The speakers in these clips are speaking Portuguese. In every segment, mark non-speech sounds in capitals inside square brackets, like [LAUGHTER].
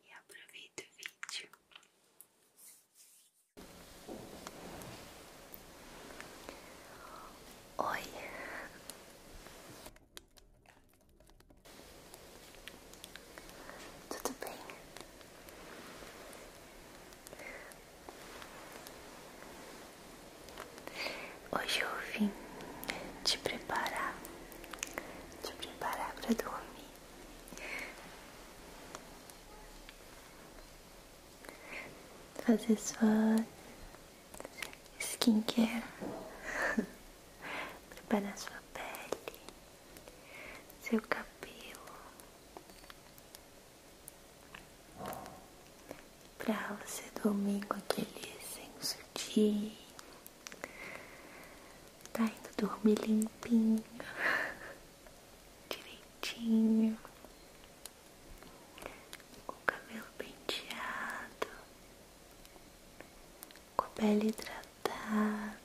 e aproveita o vídeo. Oi. Tudo bem? Hoje eu vim te preparar, te preparar para dormir fazer sua skincare, [LAUGHS] preparar sua pele, seu cabelo pra você dormir com aquele senso de Tá indo dormir limpinho, [LAUGHS] direitinho, com o cabelo penteado, com a pele hidratada,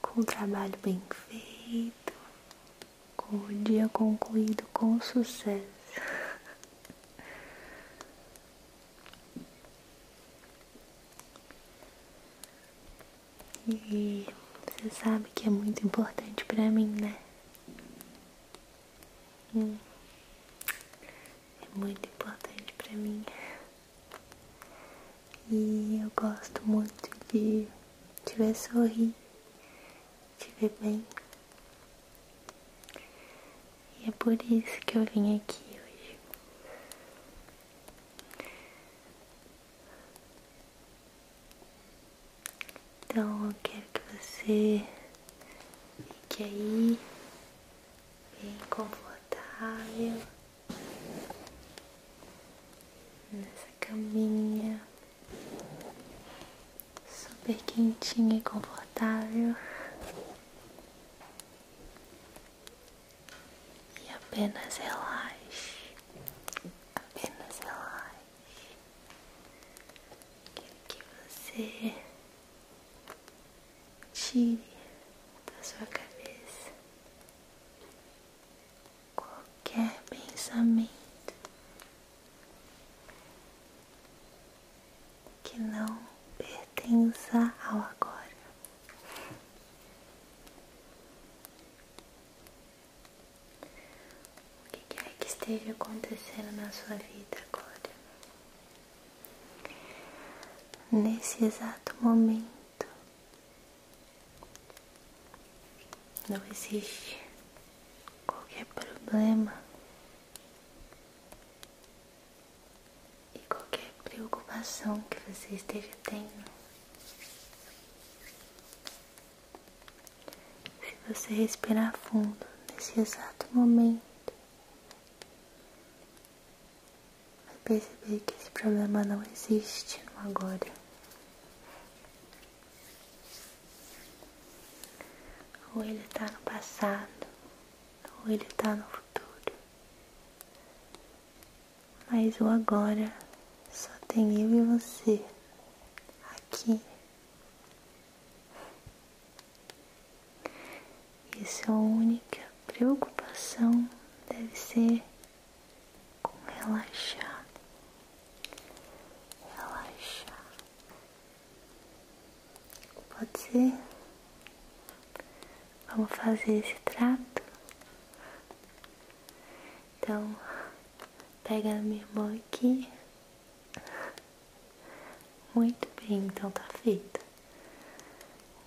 com o trabalho bem feito, com o dia concluído com sucesso. [LAUGHS] E você sabe que é muito importante para mim, né? Hum. É muito importante para mim. E eu gosto muito de te ver sorrir, te ver bem, e é por isso que eu vim aqui hoje. Então eu quero que você fique aí bem confortável nessa caminha super quentinha e confortável. E apenas relaxe, apenas relaxe. Quero que você tire da sua cabeça qualquer pensamento que não pertença ao agora. O que é que esteja acontecendo na sua vida agora? Nesse exato momento. Não existe qualquer problema e qualquer preocupação que você esteja tendo. Se você respirar fundo nesse exato momento, vai perceber que esse problema não existe no agora. Ou ele está no passado ou então, ele está no futuro. Mas o agora só tem eu e você aqui. E sua é única preocupação deve ser com relaxar. Relaxar. Pode ser? Vamos fazer esse trato? Então, pega a minha mão aqui. Muito bem, então tá feito.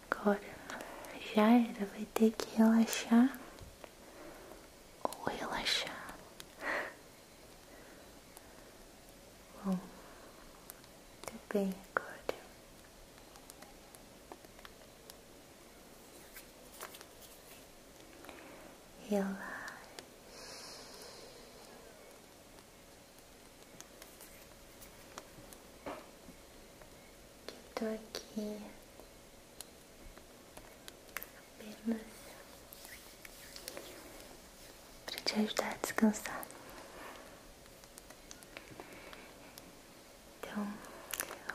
Agora já era, vai ter que relaxar ou relaxar. Bom, muito tá bem agora. Relaxa. Que tô aqui apenas para te ajudar a descansar. Então,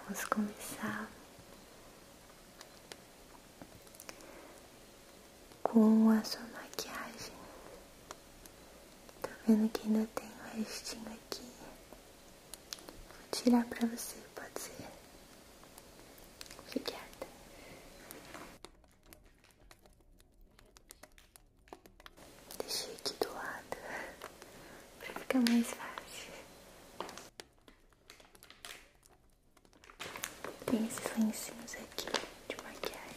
vamos começar com a sua maquiagem. Tá vendo que ainda tem o um restinho aqui? Vou tirar pra você, pode ser? fique Obrigada. Deixei aqui do lado para ficar mais fácil. Tem esses lencinhos aqui de maquiagem.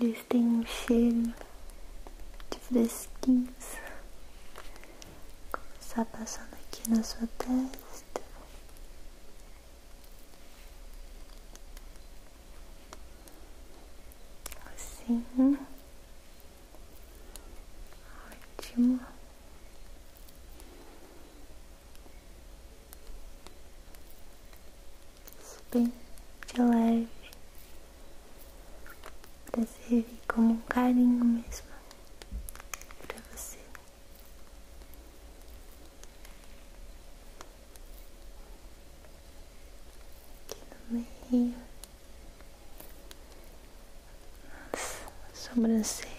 Eles têm um cheiro de fresquinhos. começar tá passando aqui na sua testa. Assim. Ótimo. Bem de leve. Pra servir como um carinho mesmo pra você. Aqui no meio. Nas sobrancelhas.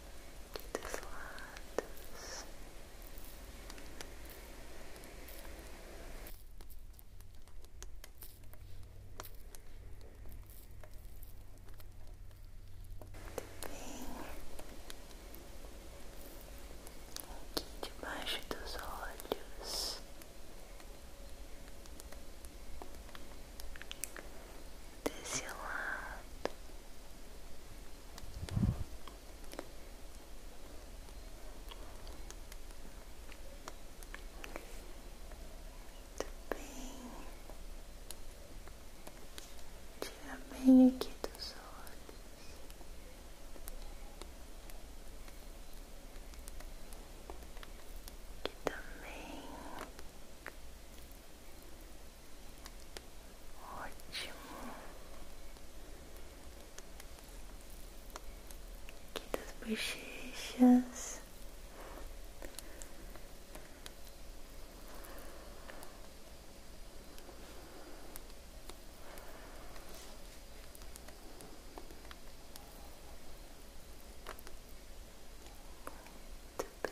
aqui dos lados. bem, aqui debaixo dos olhos, desse lado, muito bem. Tira bem aqui dos olhos. Aqui também. Ótimo. que das bochechas. Muito bem.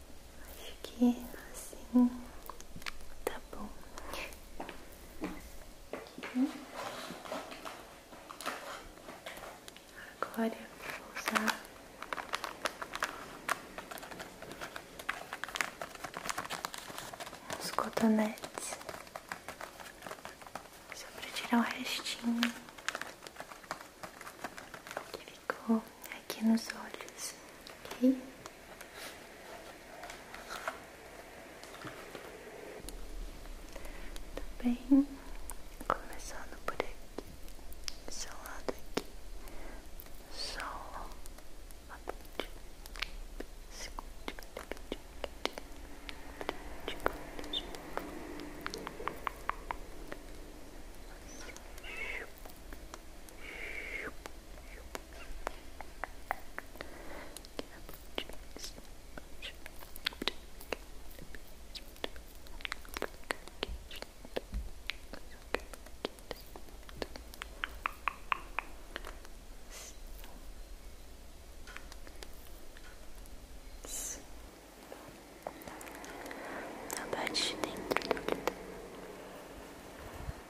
Acho que é assim tá bom. Agora vou usar os cotonetes só para tirar o restinho que ficou aqui nos olhos, ok? Tá bem? Começando por aqui, esse lado aqui, sol uma ponte, segunda, segunda, a parte dentro do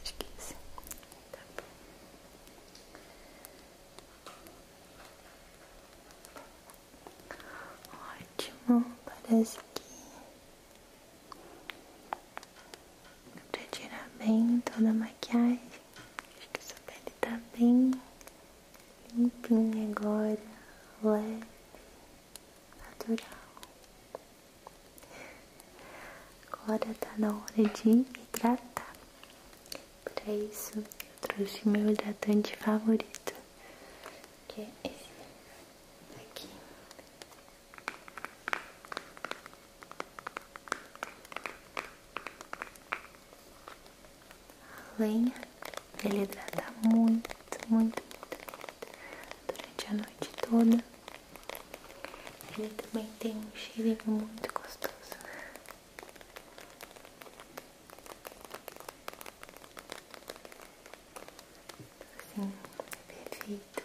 Acho Tá bom. Ótimo, parece que pra tirar bem toda a maquiagem. Acho que sua pele tá bem limpinha agora, leve, natural. Agora tá na hora de hidratar. Para isso, eu trouxe meu hidratante favorito, que é esse aqui. A lenha, ele hidrata muito, muito, muito, muito durante a noite toda. Ele também tem um cheiro muito gostoso. Assim, perfeito.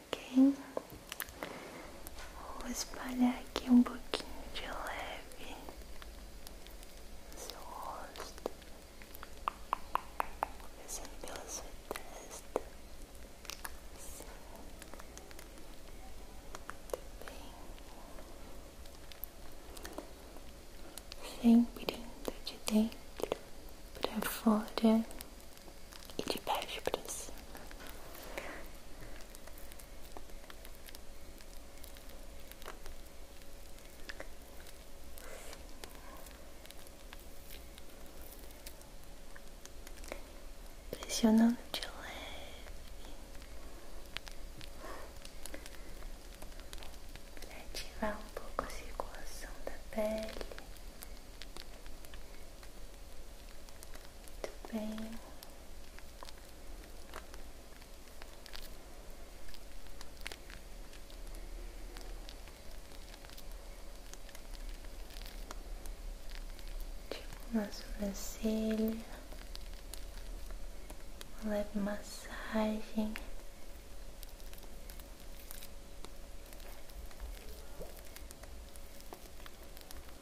ok? Vou espalhar aqui um pouquinho de leve seu rosto, começando pela sua testa, assim, também, sempre indo de dentro para fora e de baixo pra cima. Pressionando de leve. Pra ativar um pouco a circulação da pele. Muito tipo, bem. na sobrancelha, leve massagem.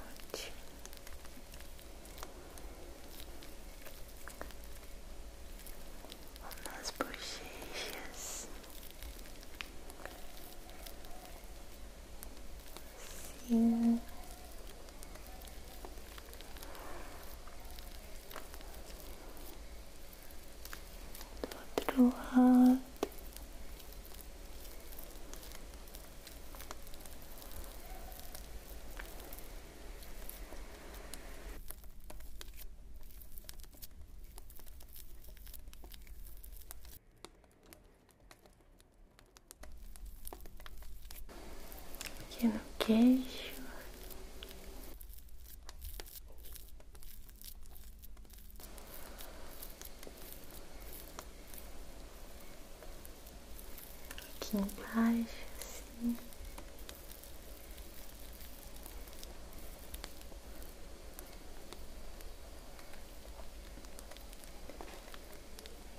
Ótimo. Nas bochechas sim do outro lado. Aqui no queixo. Aqui embaixo, assim.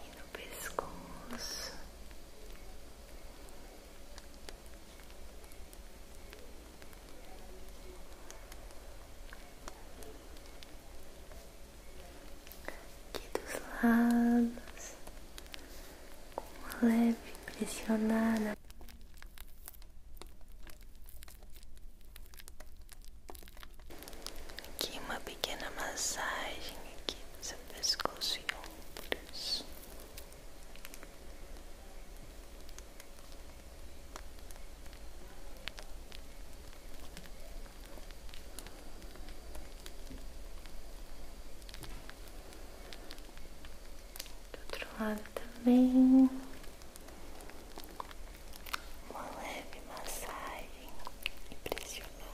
E no pescoço aqui dos lados, com uma leve pressionada. Aqui uma pequena massagem aqui no seu pescoço do outro lado também, uma leve massagem impressionante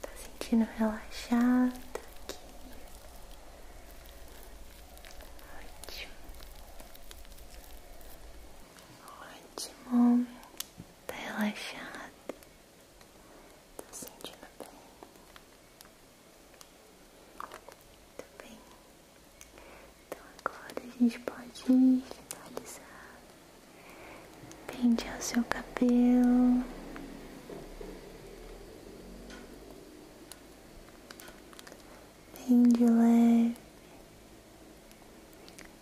Tá sentindo relaxado aqui. Ótimo. Ótimo. Tá relaxado. Tá sentindo bem. Muito tá bem. Então agora a gente pode finalizar pentear o seu cabelo. Bem de leve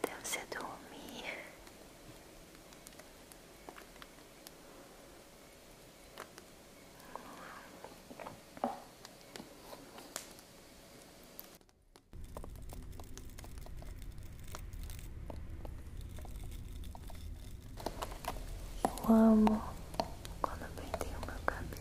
até você dormir. Eu amo quando eu penteio o meu cabelo.